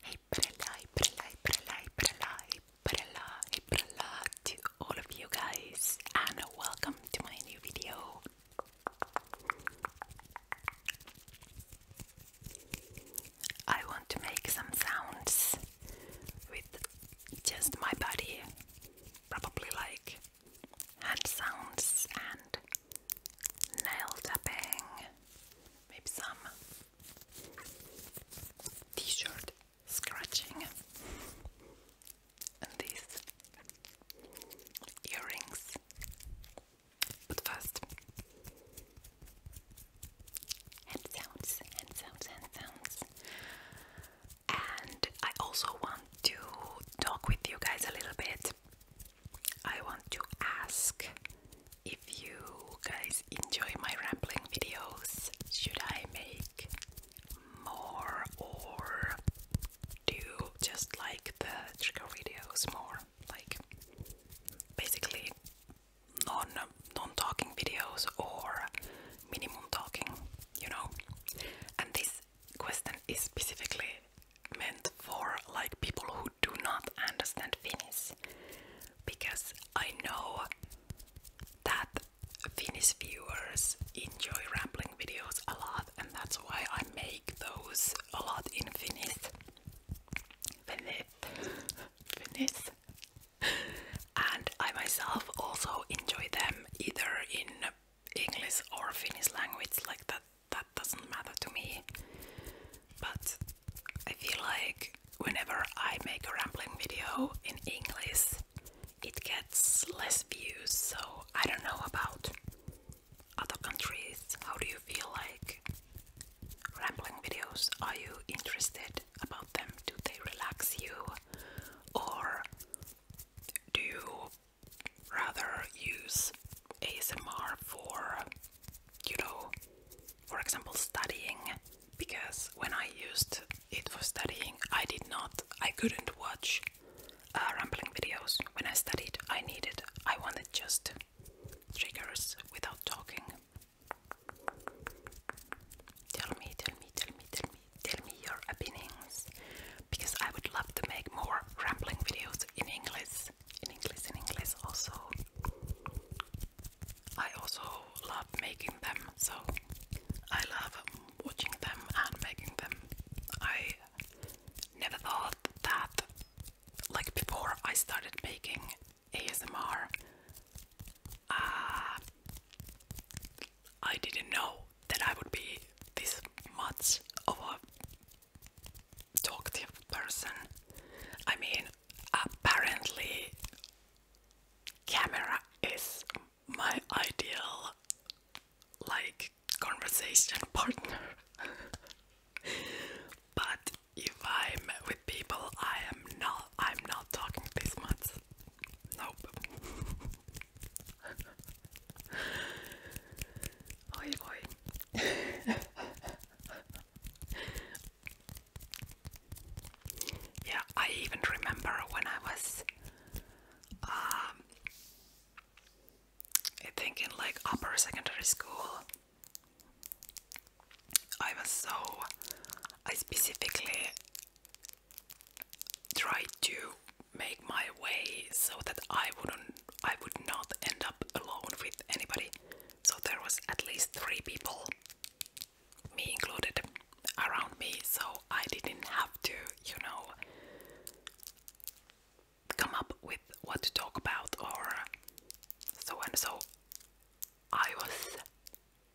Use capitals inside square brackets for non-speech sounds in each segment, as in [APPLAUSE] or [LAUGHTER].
Hey, prela, prela, prela, prela, prela, prela to all you guys, and welcome to my new video. I want to make some sounds with just my body, probably like hand sounds and nail tapping, maybe some t shirt scratching, and these earrings. But first, hand sounds, hand sounds, hand sounds. And I also want to talk with you guys a little bit I want to ask if you guys enjoy my rambling videos. Should I make more or do you just like the trigger videos more? Like basically non non talking videos or minimum talking, you know? And this question is specifically meant for like people who do not understand Finnish because I know that Finnish viewers enjoy rambling videos a lot and that's why I make those a lot in Finnish. Finnish. Finnish. and I myself also enjoy them either in English or Finnish language like that that doesn't matter to me. But I feel like whenever I make a rambling video in English, it gets less views. So I don't know about other countries. How do you feel like rambling videos? Are you interested about them? Do they relax you? Or do you rather use ASMR for you know, for example, studying. Because when I used it for studying, I did not, I couldn't watch uh, rambling videos. When I studied, I needed, I wanted just triggers without talking. Tell me, tell me, tell me, tell me, tell me your opinions. Because I would love to make more rambling videos in English in English, in English also. I also love making them, so I love watching them and making them. I never thought that, like before I started making ASMR, uh, I didn't know that I would be this much of a talkative person. I mean, apparently, camera is my ideal like conversation [LAUGHS] partner. but if I'm with people, I am not. I'm not talking this much. Nope. Oi, [LAUGHS] oi. [LAUGHS] [LAUGHS] yeah, I even remember when I was, um, I think in like upper secondary school, I was so, I specifically tried to make my way so that I wouldn't, I would not end up alone with anybody so there was at least three people, me included, around me, so I didn't have to, you know, come up with what to talk about or so and so. I was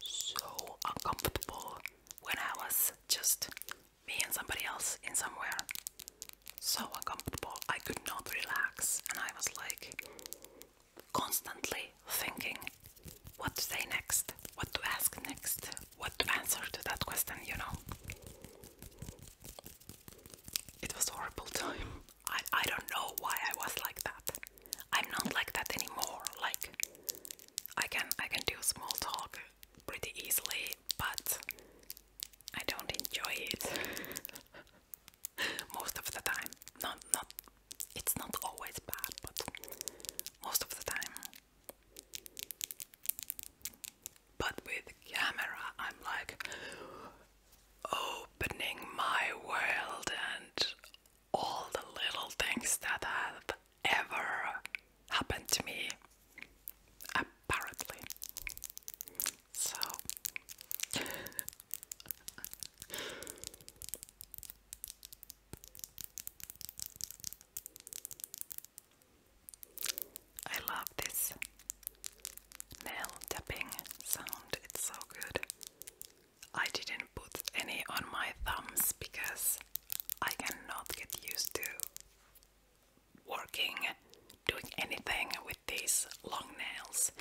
so uncomfortable when I was just me and somebody else in somewhere so uncomfortable. I could not relax, and I was like constantly thinking what to say next, what to ask next, what to answer to that question, you know. It was horrible [LAUGHS] time. I, I don't know why I was like that. I'm not like that anymore. Like I can I can do small talk pretty easily, but I don't enjoy it. [LAUGHS] most of the time. Not not it's not always bad, but most of the time. But with camera I'm like opening my world and all the little things that have ever happened to me apparently so I love this nail tapping sound, it's so good. I didn't put any on my thumbs because I cannot get used to working, doing anything these long nails.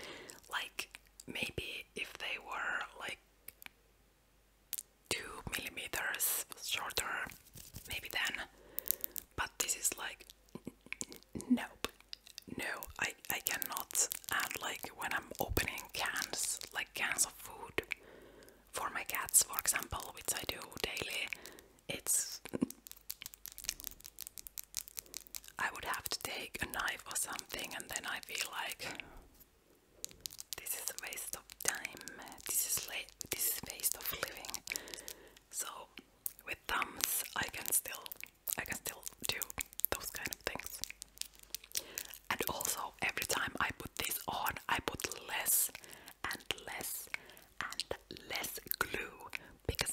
Like maybe if they were like two millimeters shorter, maybe then. But this is like nope. No, I I cannot. And like when I'm opening cans, like cans of food for my cats, for example, which I do daily, it's I would have to take a knife or something, and then I feel like this is a waste of time. This is late. This is a waste of living. So with thumbs, I can still, I can still do those kind of things. And also, every time I put this on, I put less and less and less glue because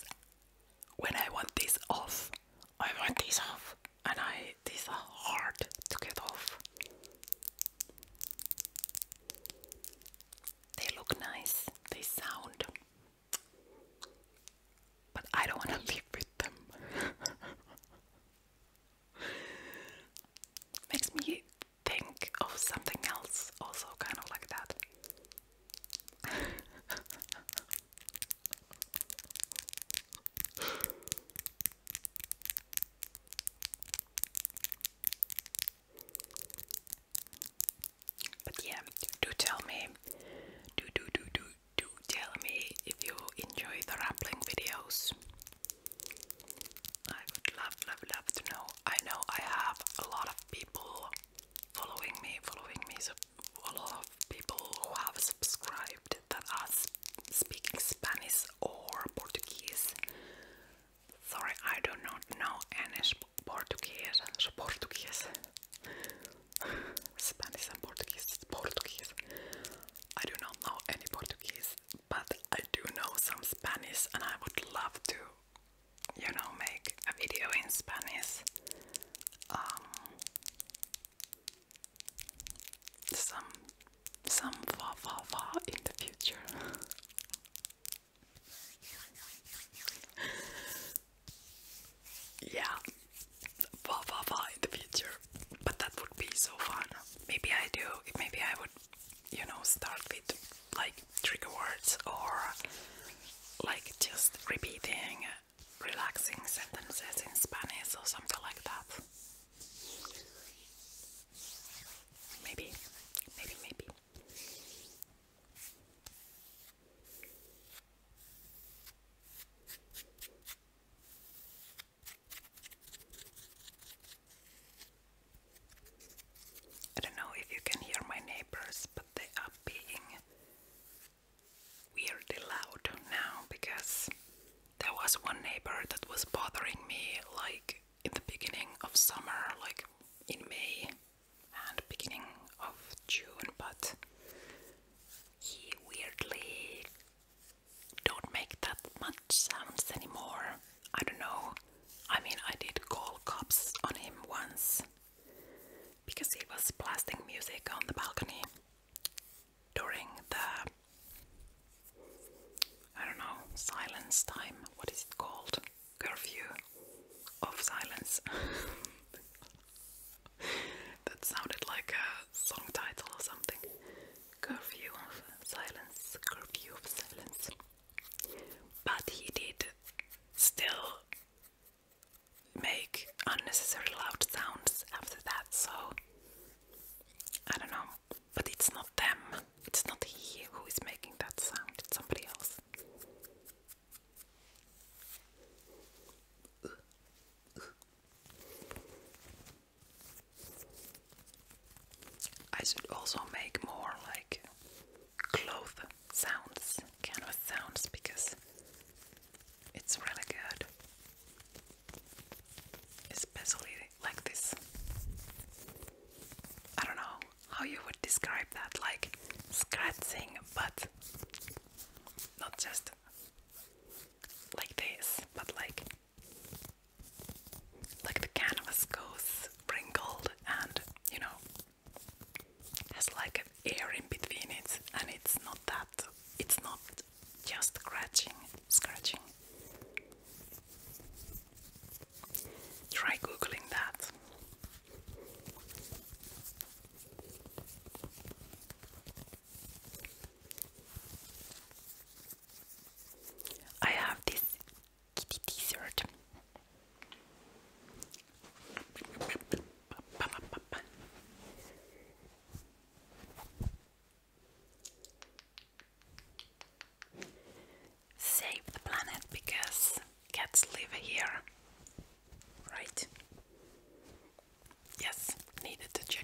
when I want this off, I want this off, and I these are hard to get off. They look nice, they sound, but I don't want to [LAUGHS] live with them. [LAUGHS] Makes me think of something else, also kind of like that. [LAUGHS] But yeah, do tell me, do do do do do tell me if you enjoy the rappling videos. I would love love love to know. I know I have a lot of people following me, following me. So a lot of people who have subscribed that are speaking Spanish or Portuguese. Sorry, I do not know any Portuguese. Portuguese. [LAUGHS] Spanish and Portuguese. Portuguese. I do not know any Portuguese, but I do know some Spanish and I would love to, you know, make a video in Spanish um, some some far far far in the future. [LAUGHS] yeah, far far far in the future. But that would be so fun. Maybe I do. Maybe I would, you know, start with like trigger words or like just repeating relaxing sentences in Spanish or something like that. Maybe, maybe, maybe. I don't know if you can hear my neighbors, but they are being weirdly loud now because there was one neighbor that was bothering me like in the beginning of summer, like in May and beginning of June, but he weirdly don't make that much sounds anymore. I don't know. I mean, I did call cops on him once because he was blasting music on the balcony during the I don't know, silence time. What is it called? Curfew of silence. [LAUGHS] that sounded like a song title or something. Curfew of silence, curfew of silence. But he did still make unnecessary loud sounds after that, so I don't know. But it's not them, it's not he who is making that sound, it's somebody else. I should also make more like clothes sounds, canvas sounds, because it's really good. Especially like this. I don't know how you would describe that, like scratching, but not just like this, but like like the canvas goes wrinkled and you know has like an air in between it, and it's not that. It's not just scratching, scratching. Try googling that. I have this kitty t-shirt. Save the planet because cats live here, right? Yes, needed to check.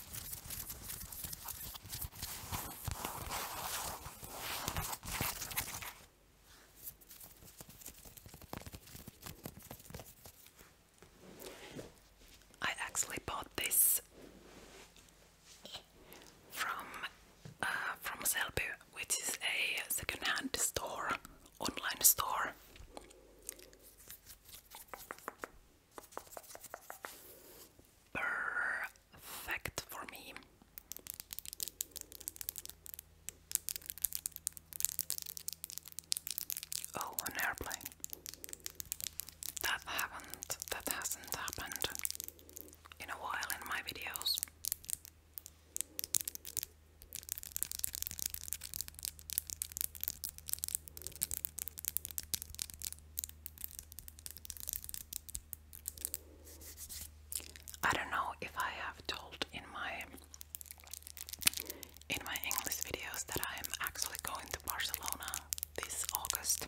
I actually bought this from uh, from Selby, which is a second-hand store, online store. Perfect for me. Oh, an airplane. That haven't that hasn't happened in a while in my videos. I don't know if I have told in my in my English videos that I am actually going to Barcelona this August.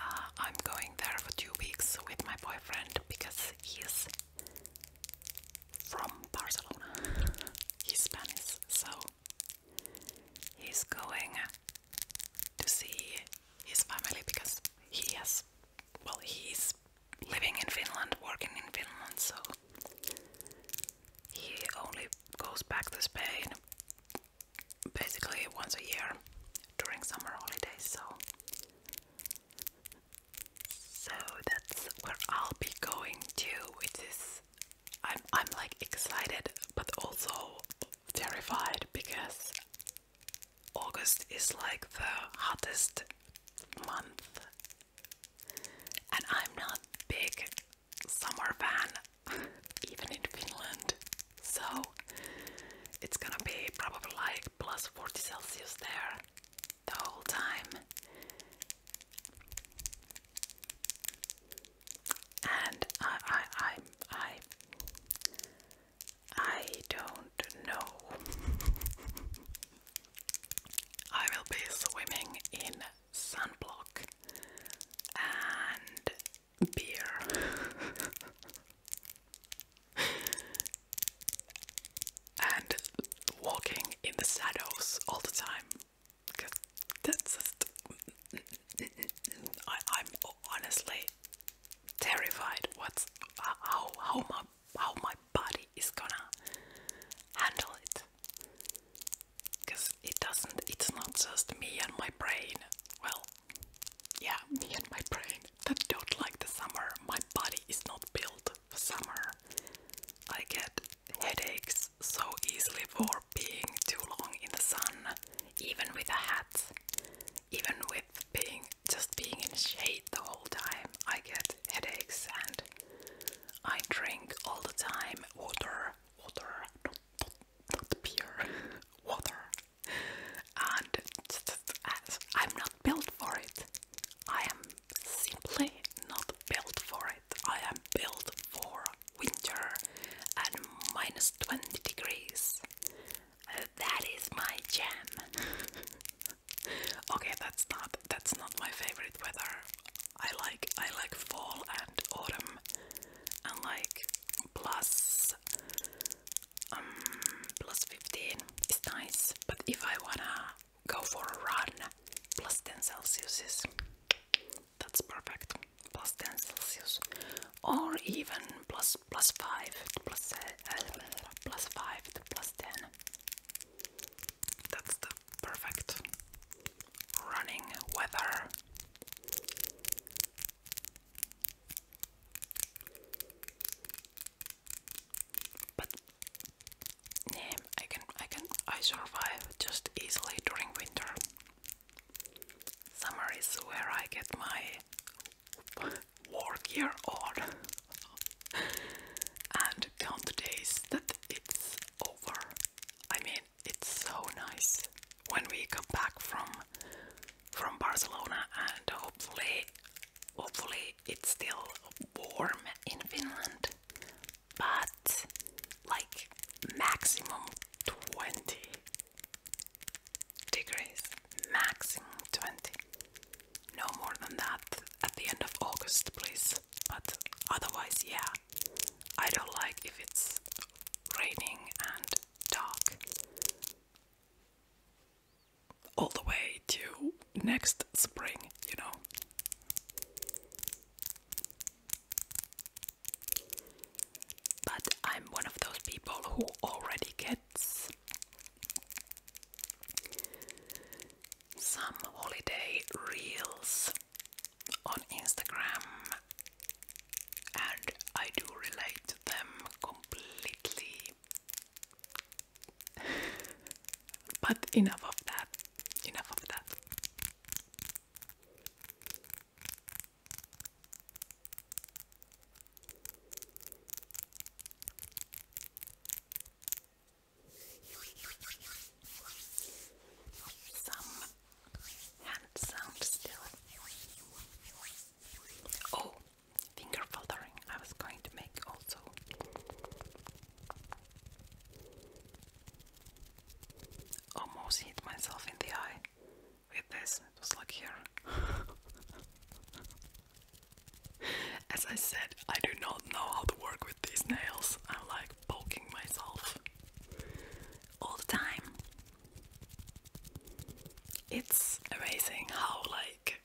Uh, I'm going there for two weeks with my boyfriend because he's from Barcelona. He's Spanish, so He's going to see his family because he has, well, he's living in Finland, working in Finland, so he only goes back to Spain basically once a year during summer holidays, so. So that's where I'll be going to, which is I'm I'm like excited but also terrified because August is like the hottest month, and I'm not big summer fan, [LAUGHS] even in Finland. So it's gonna be probably like plus 40 Celsius there the whole time and I I I I I don't know. [LAUGHS] I will be swimming in sunblock and beer. [LAUGHS] and walking in the shadows all the time because that's just. I, I'm honestly terrified. What's uh, how how my how my body is gonna handle it? Because it doesn't. It's not just me and my brain. Well, yeah, me and my brain that don't like the summer. My body is not built for summer. I get headaches so easily for being too long in the sun, even with a hat, even with being just being in shade the whole time. I get headaches and I drink all the time water, water, pure [LAUGHS] water. And I'm not built for it. I am simply not built for it. I am built for winter at minus 20 degrees. that is my jam. [LAUGHS] okay, that's not that's not my favorite weather. I like I like fall and autumn I like plus um plus 15 is nice, but if I wanna go for a run, plus 10 Celsius is that's perfect. Plus 10 Celsius, or even plus plus five, to plus uh, five to plus 10. That's the perfect running weather. But yeah, I can I can I survive just easily during winter. Summer is where I get my work year on, [LAUGHS] and count the days that it's over. I mean, it's so nice when we come back from from Barcelona, and hopefully, hopefully it's still warm in Finland, but like maximum 20 degrees, maximum 20. No more than that at the end of August, please. But otherwise, yeah, I don't like if it's raining and dark all the way to next spring, you know. But I'm one of those people who already gets some holiday reels on Instagram, and I do relate to them completely. [LAUGHS] but enough of that, enough of that. Some hand sounds still. Oh, finger fluttering. I was going to make also. Almost hit myself in the eye with this. It was here. [LAUGHS] As I said, I do not know how to work with these nails. I'm like poking myself all the time. It's amazing how, like,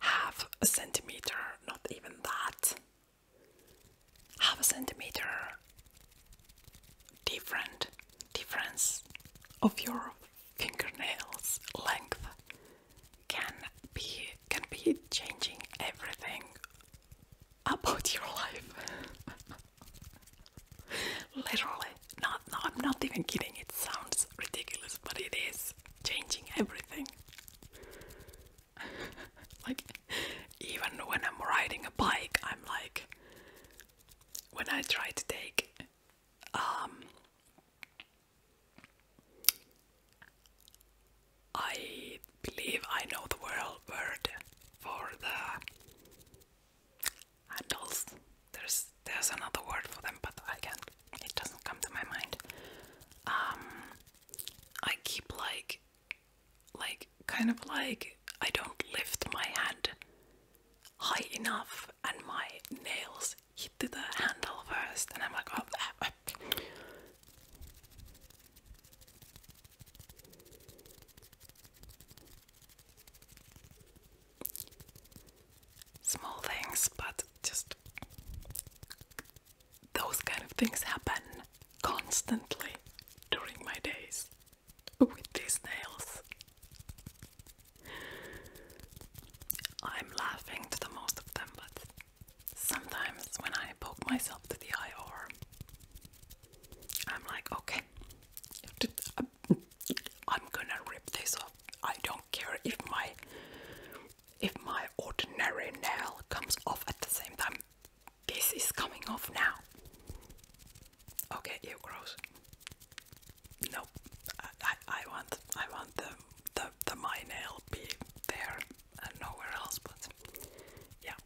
half a centimeter, not even that, half a centimeter different difference of your fingernails length can be can be changing everything about your life. [LAUGHS] Literally, not no, I'm not even kidding. It sounds ridiculous, but it is changing everything. [LAUGHS] like even when I'm riding a bike, I'm like, when I try to take um, I believe I know the world word for the handles. There's there's another word for them, but I can't. It doesn't come to my mind. Um, I keep like like kind of like I don't lift my hand high enough and my nails hit the handle first and I'm like oh ah, ah. small things but just those kind of things happen constantly during my days with these nails. I'm laughing to the most of them, but sometimes when I poke myself to the eye, or I'm like, okay, I'm gonna rip this off. I don't care if my if my ordinary nail comes off at the same time. This is coming off now. Okay, ew, gross. Nope. I, I, I want I want the the the my nail be there and nowhere else. But yeah.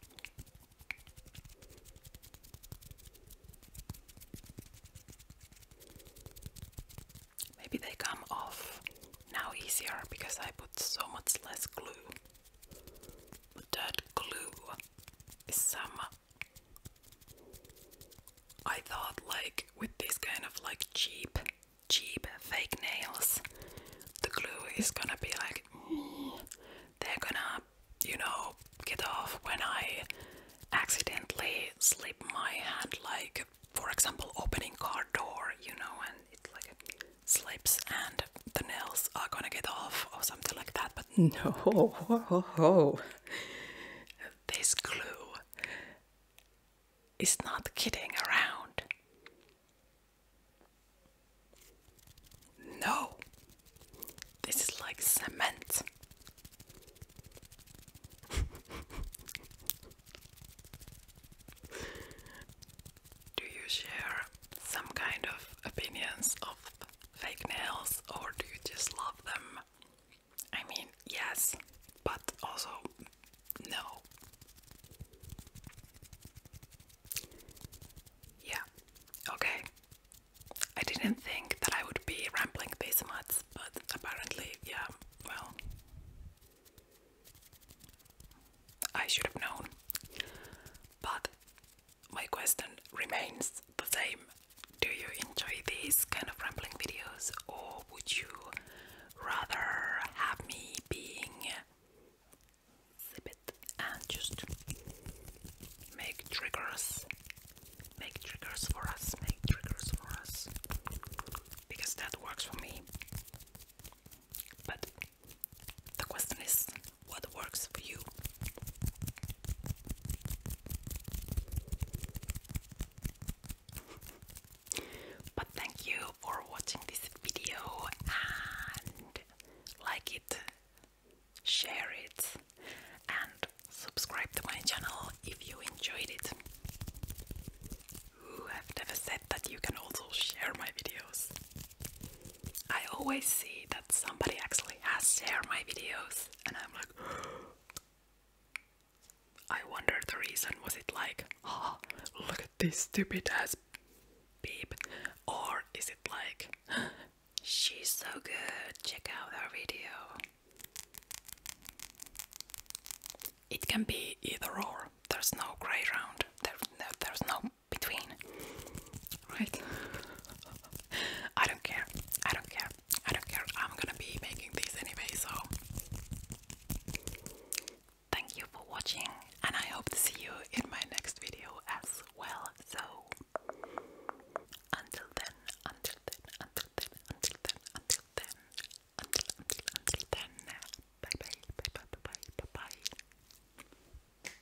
Maybe they come off now easier because I put so much less glue that glue is some. I thought, like, with these kind of like cheap, cheap fake nails, the glue is gonna be like, mm, [SNIFFS] they're gonna, you know, get off when I accidentally slip my hand, like, for example, opening car door, you know, and it's like. A, slips and the nails are gonna get off or something like that. But [LAUGHS] no, this glue is not kidding around. No, this is like cement. [LAUGHS] Do you share some kind of opinions of fake nails or do you just love them? I mean, yes, but also no. Yeah, okay. I didn't think that I would be rambling this much, but apparently, yeah, well, I should have known. But my question remains the same. Do you enjoy these kind of rambling videos, or would you rather have me being zip it and just make triggers? Make triggers for us, make triggers for us. Because that works for me. But the question is what works for you? but thank you for watching this video and like it, share it, and subscribe to my channel if you enjoyed it. Ooh, have never said that you can also share my videos. I always see that somebody actually has shared my videos, and I'm like, [GASPS] I wonder the reason was it like, oh, look at this stupid ass beep, or is it like, [GASPS] she's so good, check out her video? It can be either or. There's no gray round. There, there's no between. Right? I don't care. I don't care. I don't care. I'm gonna be making these anyway, so thank you for watching, and I hope to see you in my next video as well. So until then, until then, until then, until then, until then, until until until then. Bye bye bye bye bye bye bye bye.